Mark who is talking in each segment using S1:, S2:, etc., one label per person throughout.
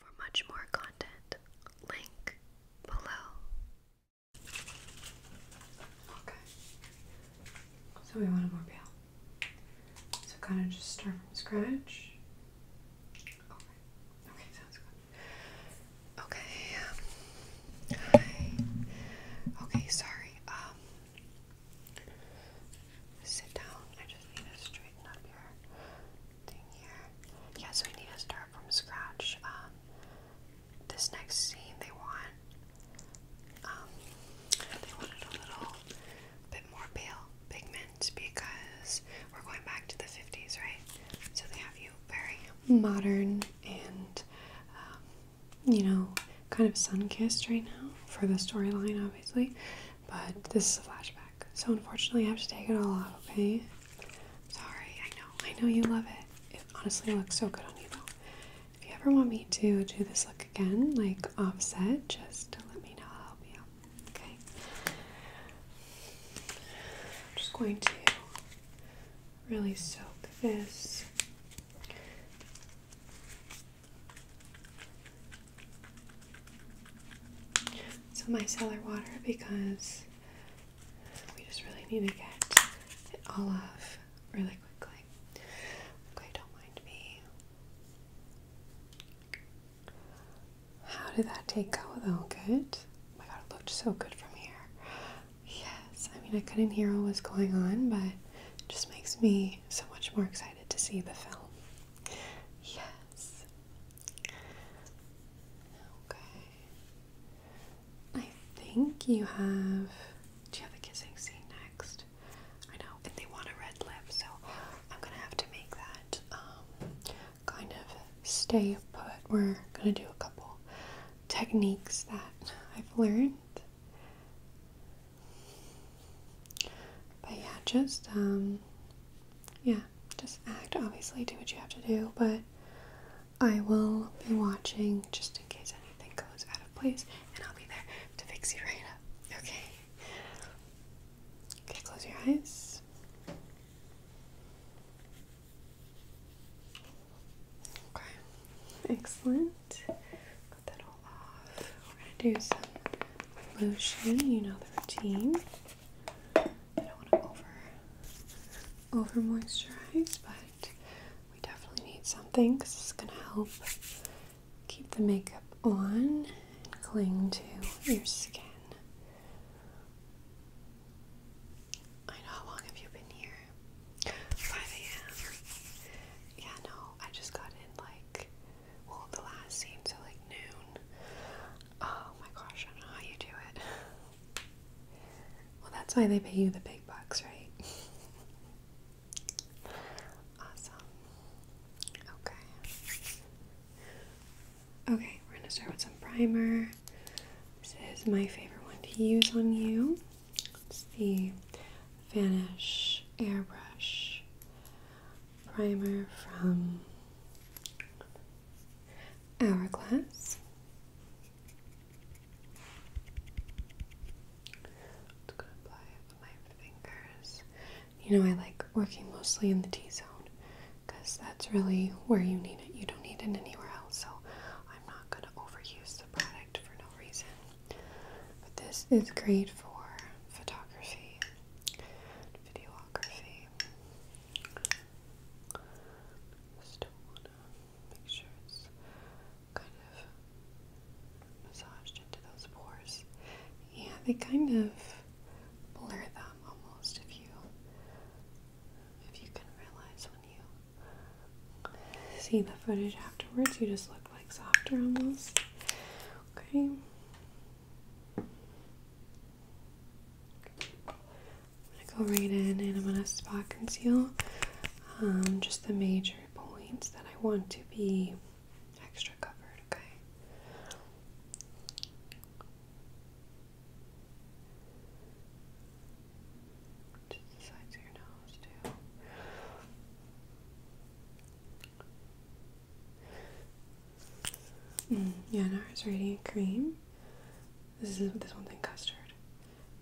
S1: For much more content, link below. Okay. So we want a more pale. So kind of just start from scratch. Okay. Okay, sounds good. Okay. Um, hi. Okay, sorry. Um. Sit down. I just need to straighten up here. Yeah, so we need to start from scratch. Um, this next scene, they want, um, they wanted a little bit more pale pigment because we're going back to the 50s, right? So they have you very modern and, um, you know, kind of sun kissed right now for the storyline, obviously but this is a flashback. So unfortunately, I have to take it all off, okay? Sorry, I know. I know you love it. It honestly looks so good on you, though. If you ever want me to do this look again, like offset, just let me know. I'll help you out, okay? I'm just going to really soak this some micellar water because we just really need to get it all off really quickly. Okay, don't mind me. How did that take out though? Good? Oh my god, it looked so good from here. Yes, I mean, I couldn't hear what was going on, but it just makes me so much more excited to see the film. Yes. Okay. I think you have. Do you have a kissing scene next? I know, and they want a red lip, so I'm gonna have to make that um, kind of stay put. We're gonna do a couple techniques that I've learned. But yeah, just um, yeah, just act. Obviously, do what you have to do, but I will be watching just in case anything goes out of place, and I'll be there to fix you right up. Okay. Okay, close your eyes. Okay, excellent. Cut that all off. We're gonna do some lotion. You know the routine. I don't want to over over moisturize, but we definitely need something because is going to help keep the makeup on and cling to your skin. I know how long have you been here? 5 a.m. Yeah, no, I just got in like well the last seems so like noon. Oh my gosh, I don't know how you do it. Well, that's why they pay you the big bucks, right? awesome. Okay. Okay, we're gonna start with some primer. This is my favorite one to use on you. It's the Vanish Airbrush Primer from hourglass. I'm just gonna apply it with my fingers. You know, I like working mostly in the T zone because that's really where you need it. You don't need it anywhere else, so I'm not gonna overuse the product for no reason. But this is great for photography, videography. Still wanna make sure it's kind of massaged into those pores. Yeah, they kind of blur them almost if you if you can realize when you see the footage afterwards, you just look like softer almost. Okay. I'm gonna go right in and I'm gonna spot conceal um, just the major points that I want to be extra covered, okay? Mm, yeah, NARS Radiant Cream. This is this one thing custard.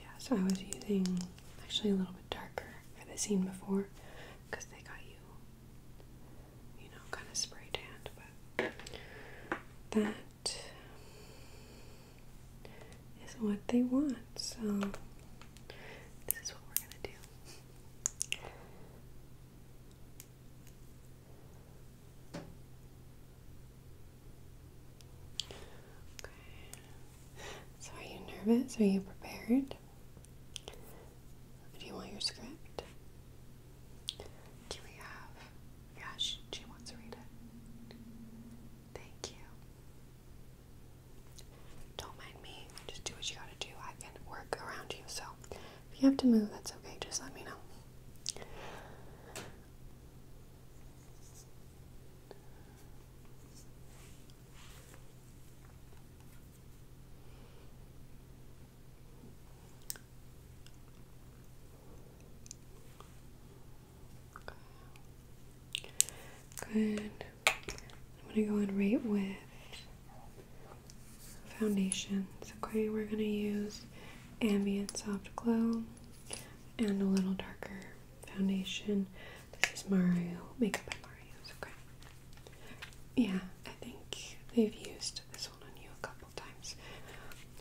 S1: Yeah, so I was using actually a little bit darker for the scene before because they got you, you know, kind of spray tanned, but that is what they want. So this is what we're gonna do. So, are you nervous? Are you prepared? Do you want your script? Do we have? Yeah, she wants to read it. Thank you. Don't mind me. Just do what you gotta do. I can work around you. So, if you have to move, that's okay. Just let me know. Good. I'm going to go in right with foundations. Okay, we're going to use ambient soft glow and a little darker foundation. This is Mario Makeup by Mario's. Yeah, I think they've used this one on you a couple times.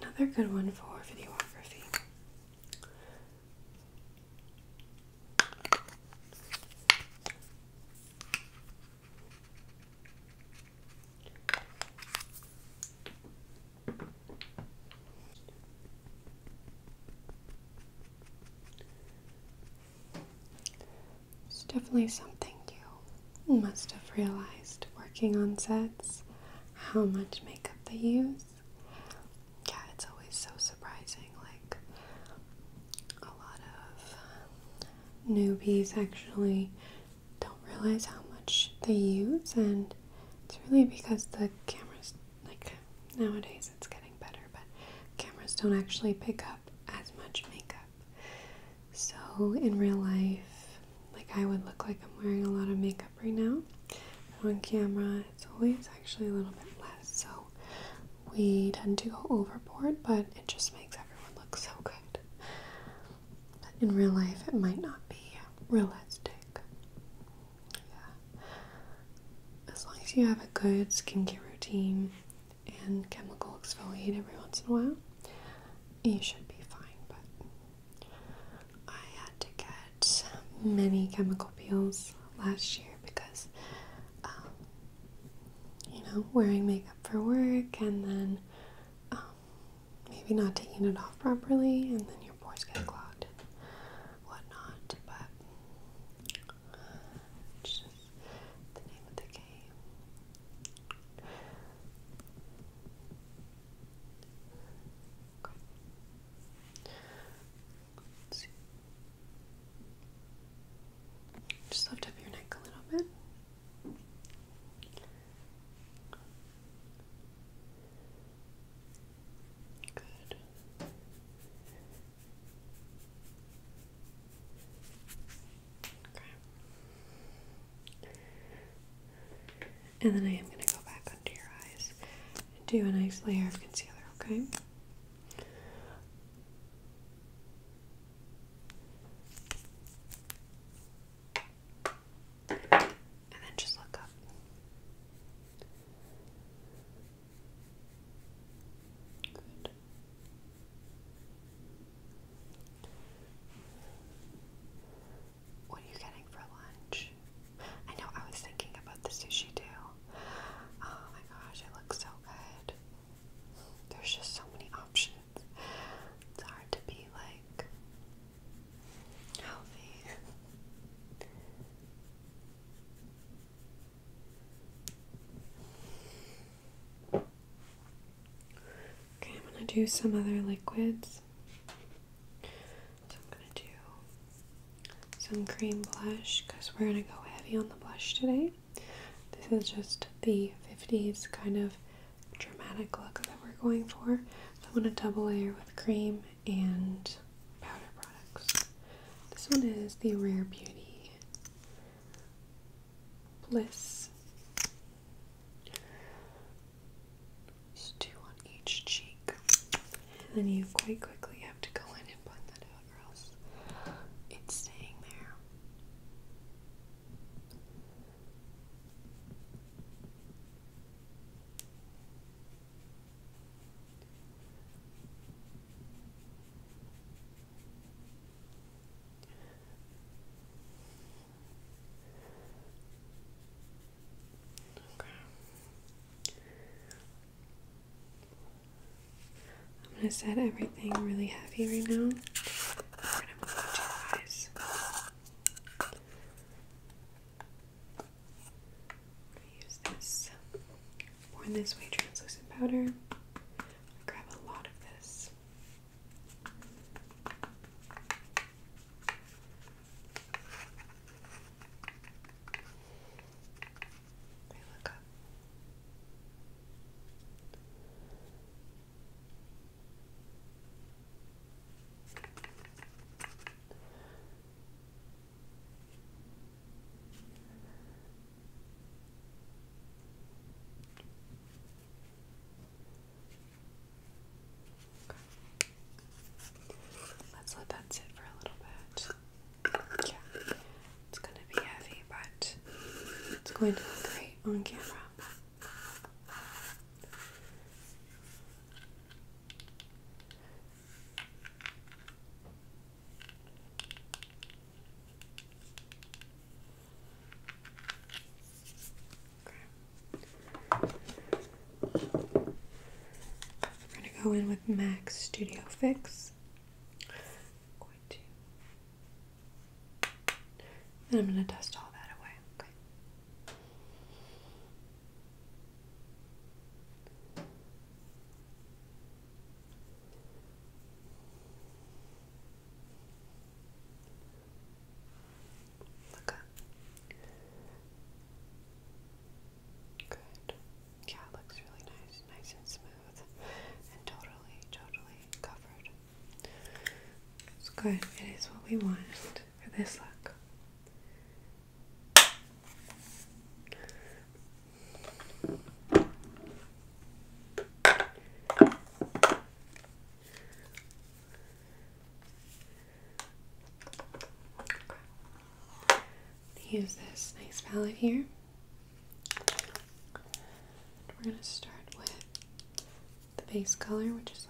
S1: Another good one for videography. It's definitely something you must have realized working on sets how much makeup they use. Yeah, it's always so surprising. Like, a lot of newbies actually don't realize how much they use, and it's really because the cameras, like nowadays, it's getting better, but cameras don't actually pick up as much makeup. So in real life, like I would look like I'm wearing a lot of makeup right now. on camera, it's always actually a little bit less. So we tend to go overboard, but it just makes everyone look so good. But in real life, it might not be realistic. Yeah. As long as you have a good skincare routine and chemical exfoliate every once in a while, you should be fine. But I had to get many chemical peels last year because, um, you know, wearing makeup for work and then um, maybe not taking it off properly, and then your pores get clogged, whatnot. But just the name of the game. Just lift up your neck a little bit. Good. Okay. And then I am going to go back under your eyes do a nice layer of concealer, Okay. And then just look up. What are you getting for lunch? I know I was thinking about the sushi too. Oh my gosh, it looks so good. There's just so many options. It's hard to be like Okay, I'm going to do some other liquids. So I'm going to do some cream blush because we're going to go heavy on the blush today. This is just the 50s kind of dramatic look that we're going for. So I want a double layer with cream and powder products. This one is the Rare Beauty Bliss. Just two on each cheek. And then you quite quickly have to go in and blend that out or else it's staying there. I'm going to set everything really heavy right now. I'm use this Born This Way translucent powder. i grab a lot of this. I look up. Let's let that sit for a little bit. Yeah, it's gonna be heavy, but it's going to look great on camera. Okay. We're going to go in with MAC Studio Fix. And I'm going to dust all that away. Okay. Look Good. Yeah, looks really nice, nice and smooth, and totally, totally covered. It's good. It is what we want for this look. Use this nice palette here. we're going to start with the base color, which is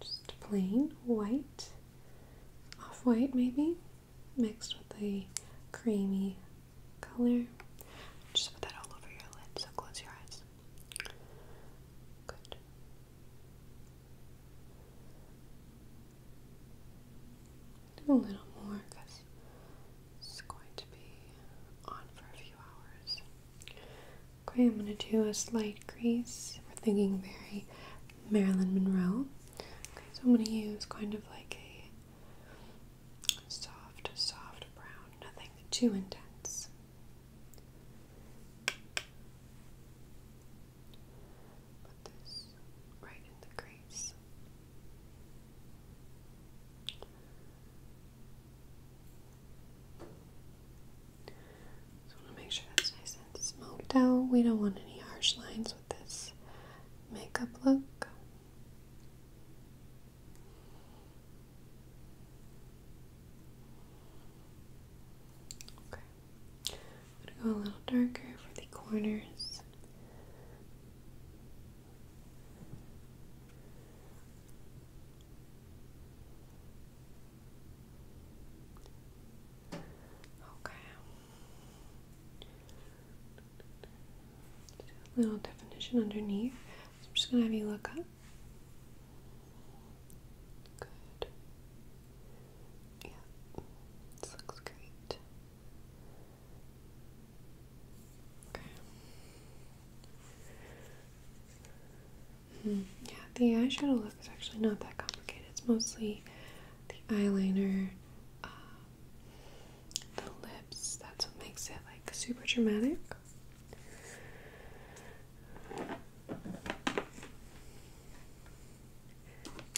S1: just plain white, off white maybe, mixed with a creamy color. Just put that all over your lid, so close your eyes. Good. Do a little more because it's going to be on for a few hours. Okay, I'm going to do a slight crease. We're thinking very Marilyn Monroe. Okay, so I'm going to use kind of like a soft, soft brown, nothing too intense. Put this right in the crease. Just want to make sure that's nice and smoked out. We don't want any harsh lines with this makeup look. Okay. going to go a little darker for the corners. Okay. little definition underneath. I'm just gonna have you look up. Good. Yeah, this looks great. Okay. Hmm. Yeah, the eyeshadow look is actually not that complicated. It's mostly the eyeliner, uh, the lips. That's what makes it like super dramatic.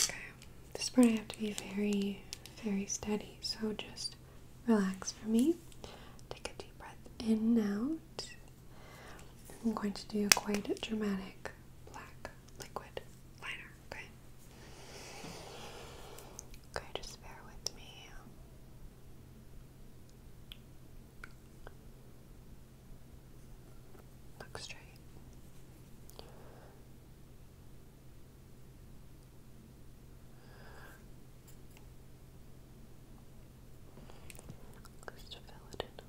S1: Okay, this part I have to be very, very steady, so just relax for me. Take a deep breath in out. I'm going to do a quite dramatic black liquid liner, okay? Okay, just bear with me. Look straight. Just fill it in.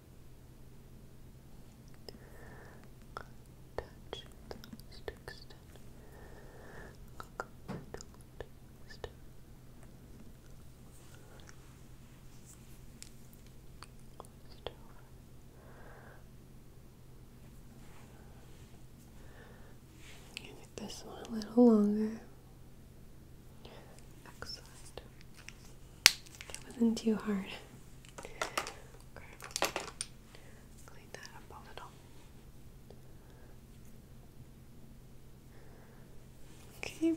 S1: Touch those to extend. Give this one a little longer. Excellent. That wasn't too hard. Clean that up a little. Okay.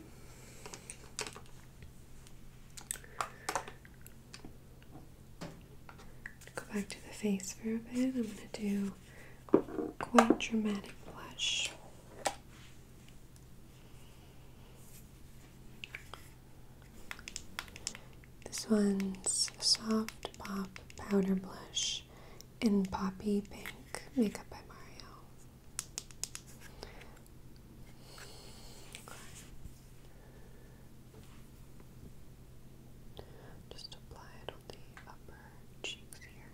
S1: Go back to the face for a bit. I'm going to do quite dramatic blush. This one's Soft Pop Powder Blush in Poppy Pink Makeup by Mario. Just apply it on the upper cheeks here.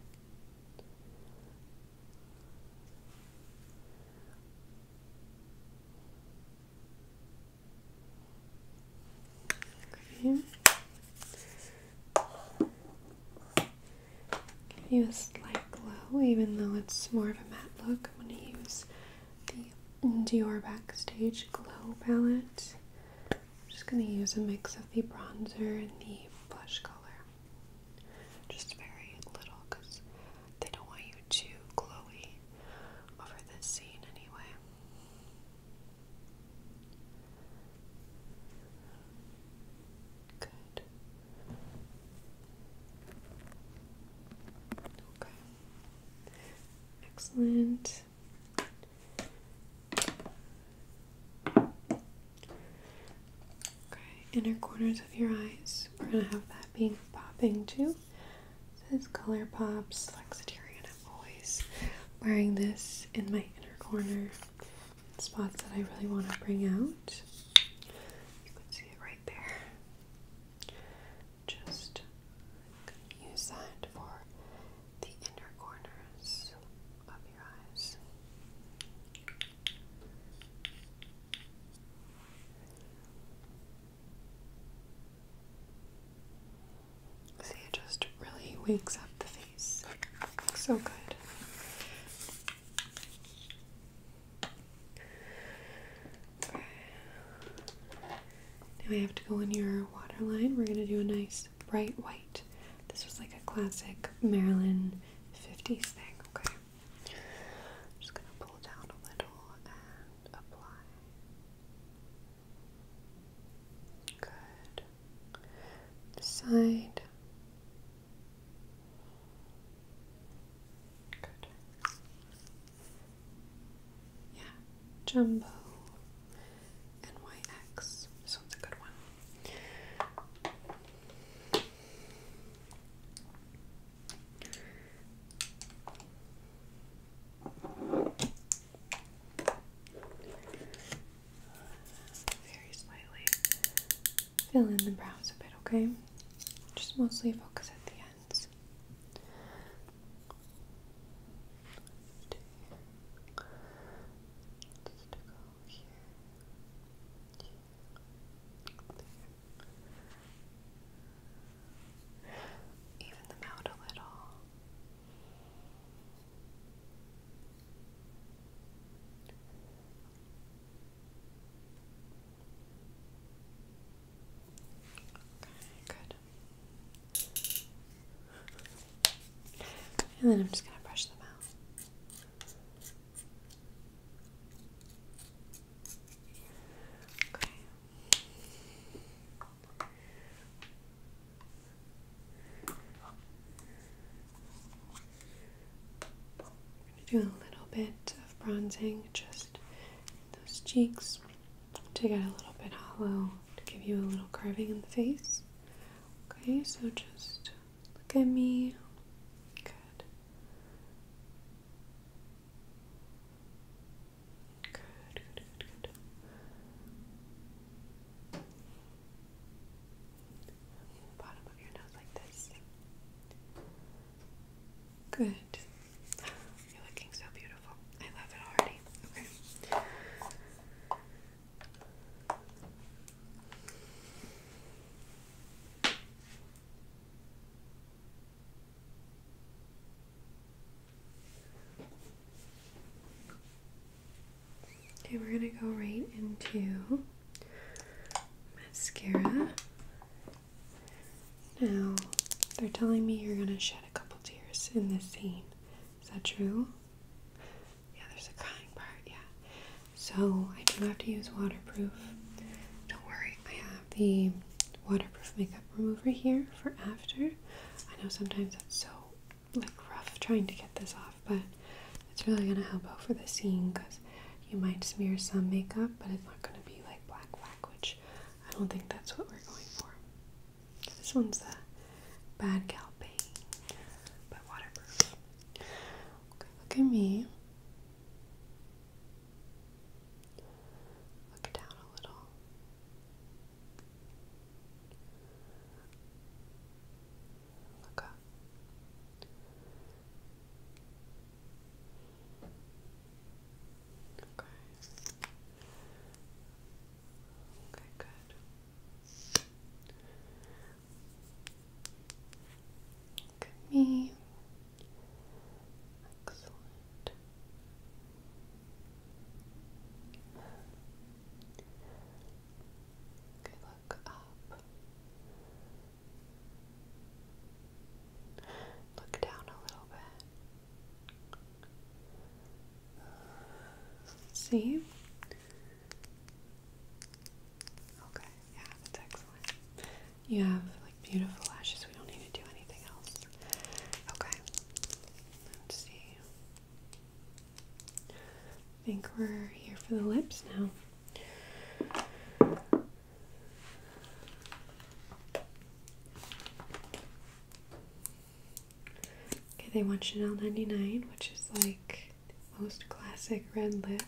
S1: Give you a slight glow, even though it's more of a matte look. I'm going to use the Dior Backstage Glow palette. just going to use a mix of the bronzer and the blush color. Just very little because they don't want you too glowy over this scene anyway. Good. Okay. Excellent. Okay, inner corners of your eyes. We're gonna have that being popping too. This is ColourPop's Flexitarian. I'm always wearing this in my inner corner spots that I really want to bring out. You can see it right there. Just use that for the inner corners of your eyes. See, it just really wakes up the face. So good. Okay. Now we have to go in your waterline. We're going to do a nice bright white. This was like a classic Maryland 50s thing, okay? just going to pull down a little apply. Good. Side. Good. Yeah, jumbo and This one's a good one. Very slightly fill in the brows a bit, okay? Just mostly focus at the ends. let here. Even them out a little. Okay, good. And then I'm just going to brush them out. I'm going to do a little bit of bronzing just those cheeks to get a little bit hollow to give you a little carving in the face. Okay, so just look at me. Good. Good, good, good, good. Bottom of your nose like this. Good. You're looking so beautiful. I love it already. Okay. Okay, we're gonna go right into mascara. Now, they're telling me you're gonna shed a couple tears in this scene. Is that true? Yeah, there's a crying part, yeah. So, I do have to use waterproof. Don't worry, I have the waterproof makeup remover here for after. I know sometimes it's so like rough trying to get this off, but it's really gonna help out for the scene because you might smear some makeup, but it's not gonna be like black black, which I don't think that's what we're going for. This one's the bad gal but waterproof. Okay, look at me. Look down a little. Look up. Okay. Okay, good. Look at me. Excellent. Okay, look up. Look down a little bit. See? Okay, yeah, that's excellent. You have beautiful lashes. We don't need to do anything else. Okay. Let's see. I think we're here for the lips now. Okay, they want Chanel 99, which is like most classic red lip,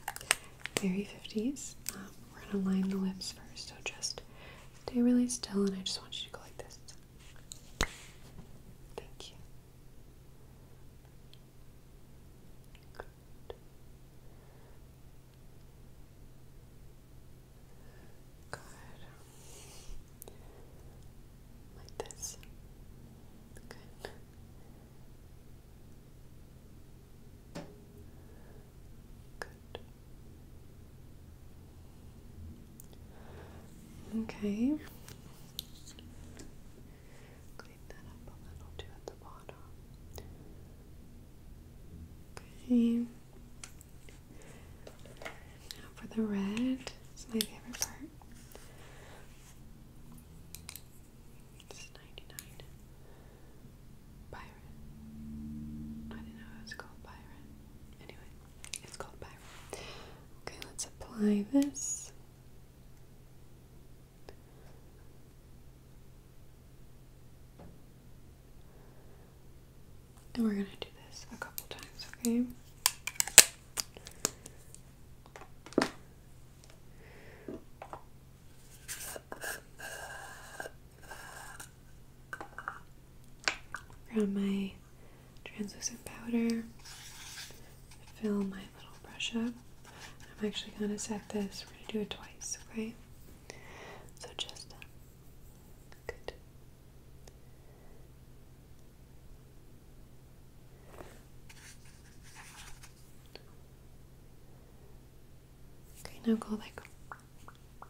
S1: very 50s. Um, we're gonna line the lips first, so just Stay really still, and I just want you to go like this. Thank you. Good. Good. Like this. Good. Good. Okay. Clean that up a little too at the bottom. Okay. Now for the red, it's my favorite part. It's 99. Byron. I didn't know it was called Byron. Anyway. It's called Byron. Okay, let's apply this. And we're going to do this a couple times, okay? Grab my translucent powder, fill my little brush up. I'm actually going to set this, we're going to do it twice, okay? So just good. Okay, now go like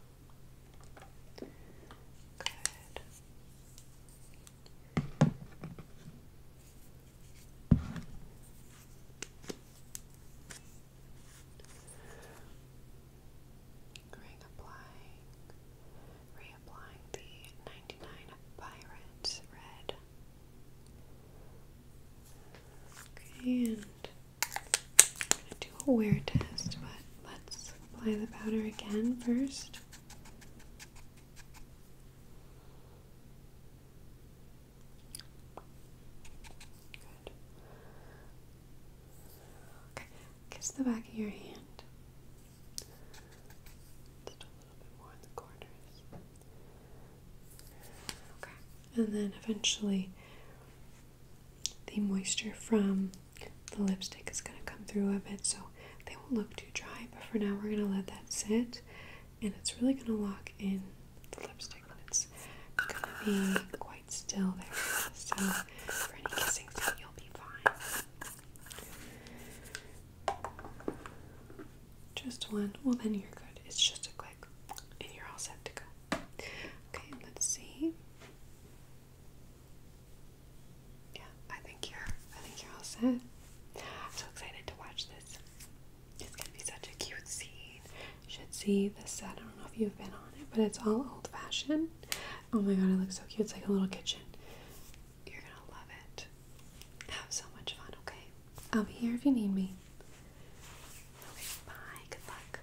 S1: Good. Reapplying, reapplying the 99 Pirates Red. Okay, and do a wear test, but let's apply the powder again first. Good. Okay, kiss the back of your hand. Just a little bit more in the corners. Okay, and then eventually the moisture from the lipstick is going to come through a bit, so they won't look too dry. But for now, we're going to let that sit, and it's really going to lock in the lipstick. And it's going to be quite still there, so for any kissing, you'll be fine. Just one. Well, then you're good. It's just a click, and you're all set to go. Okay, let's see. Yeah, I think you're I think you're all set. I'm so excited to watch this. It's gonna be such a cute scene. You should see this set. I don't know if you've been on it, but it's all old fashioned. Oh my god, it looks so cute. It's like a little kitchen. You're gonna love it. Have so much fun, okay? I'll be here if you need me. Okay, bye. Good luck.